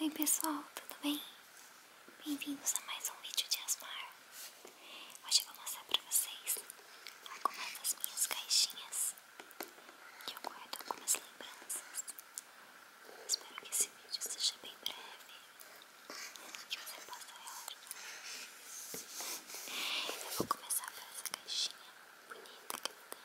Oi pessoal, tudo bem? Bem-vindos a mais um vídeo de Asmar. Hoje eu vou mostrar para vocês algumas das minhas caixinhas que eu guardo algumas lembranças. Espero que esse vídeo seja bem breve que você possa relaxar. Eu vou começar por essa caixinha bonita que eu tenho.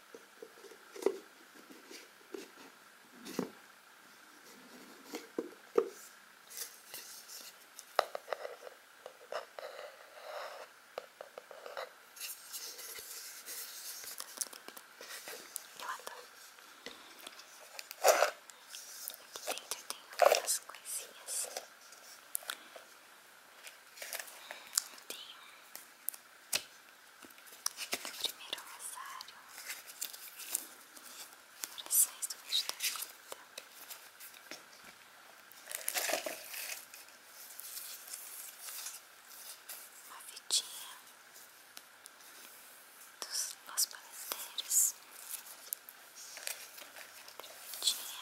Eu adoro. Aqui dentro eu tenho algumas coisinhas tenho primeiro rosário Orações do mês da vida Uma vidinha dos nossos palesteiros Outra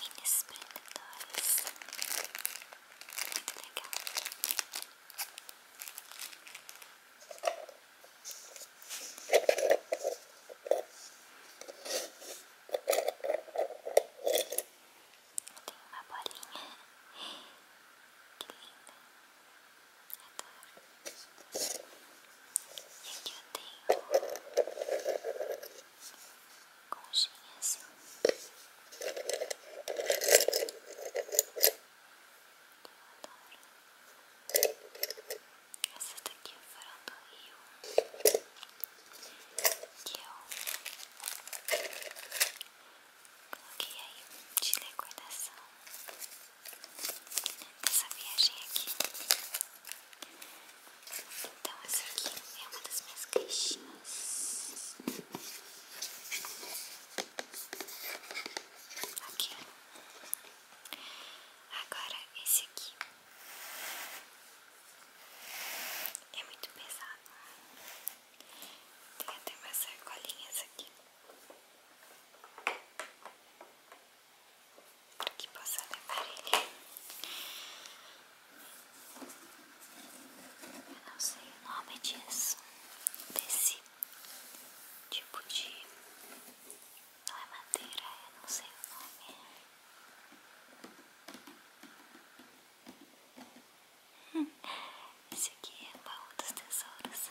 Minis prendedores. Muito eu tenho uma bolinha. Que linda. Adoro. E aqui eu tenho conchinha assim. adoro. Essas daqui foram do Rio. Que eu coloquei aí de decoração. Essa viagem aqui. Então essa aqui é uma das minhas caixinhas Aqui Agora esse aqui É muito pesado tem até umas sacolinhas aqui que possa levar ele. Eu não sei o nome disso, desse tipo de. Não é madeira, eu não sei o nome. Esse aqui é o baú dos tesouros.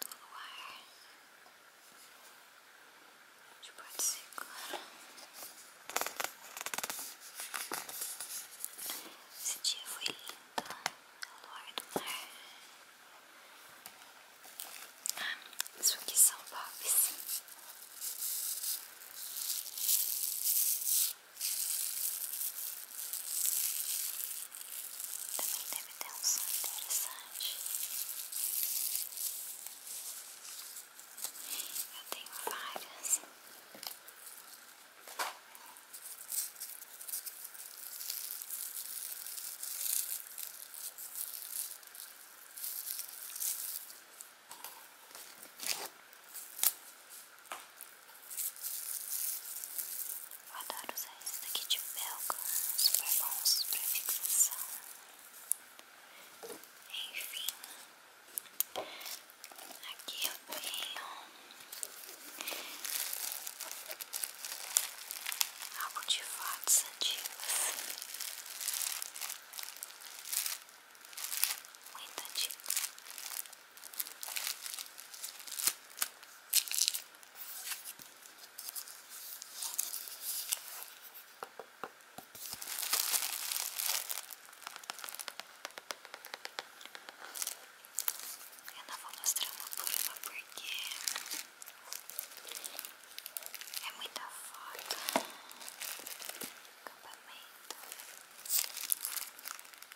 do luar. A gente pode segurar. Esse dia foi lindo, o luar do mar. Ah, isso aqui são bobs. Também deve ter um som interessante. Eu tenho várias. Vou dar usar esse daqui de belga, é super bons pra fixação. Enfim, aqui eu tenho algo de fotos antigas, muito antigo. Eu não vou mostrar uma por porque é muita foto. Acampamento.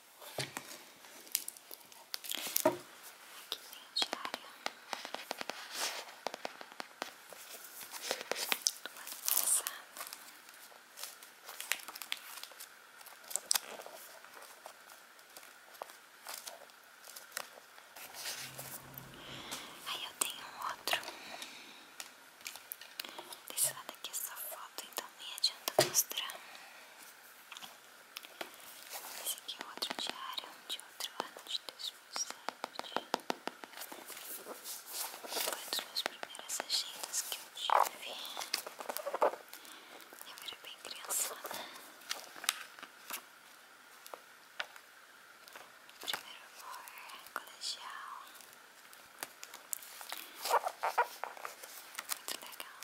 Aqui tem diário. Do ano Aí eu tenho um outro. Desse lado aqui essa foto, então nem adianta mostrar. Esse aqui é outro diário de outro ano de 2007. Foi uma das minhas primeiras agendas que eu tive. Eu era bem criançada. Primeiro amor, colegial. Muito legal.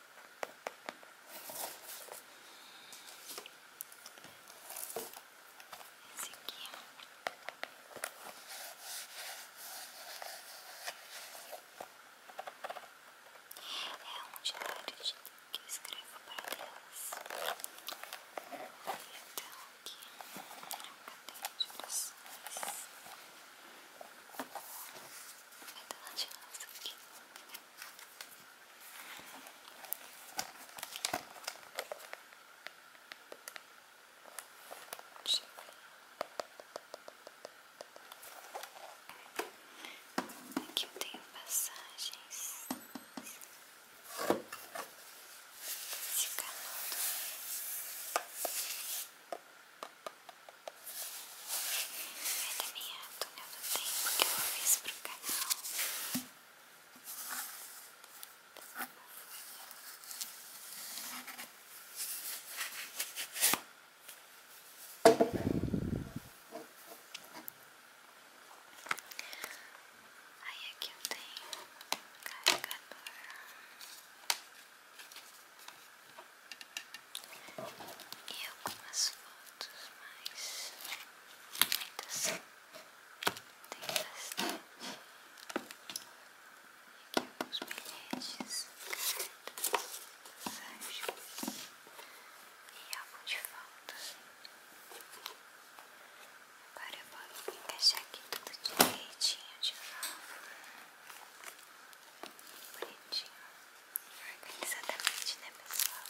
Esse aqui. É um diário que eu escrevo para Deus. Então, aqui é uma cadeia de orações. Vai dar uma aqui. Deixa eu ver. Aqui eu tenho passagens. Esse canudo. É da minha túnel do tempo que eu fiz pro canal. Aí aqui eu tenho um carregador. E algumas fotos, mais muitas são. Tem bastante. E aqui alguns bilhetes, cartas, sachos e álbum de fotos. Agora eu vou encaixar aqui tudo direitinho de novo. Bonitinho. Organizadamente, né, pessoal?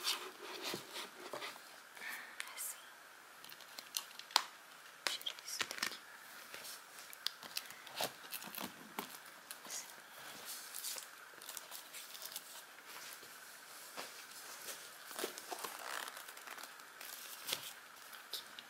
Assim. Tirar isso daqui.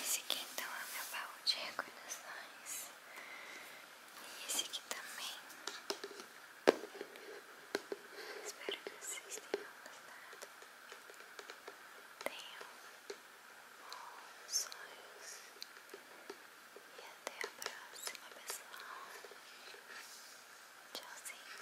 Esse aqui então é meu baú de recordações. E esse aqui também. Espero que vocês tenham gostado. Tenham bons sonhos. E até a próxima, pessoal. Tchauzinho.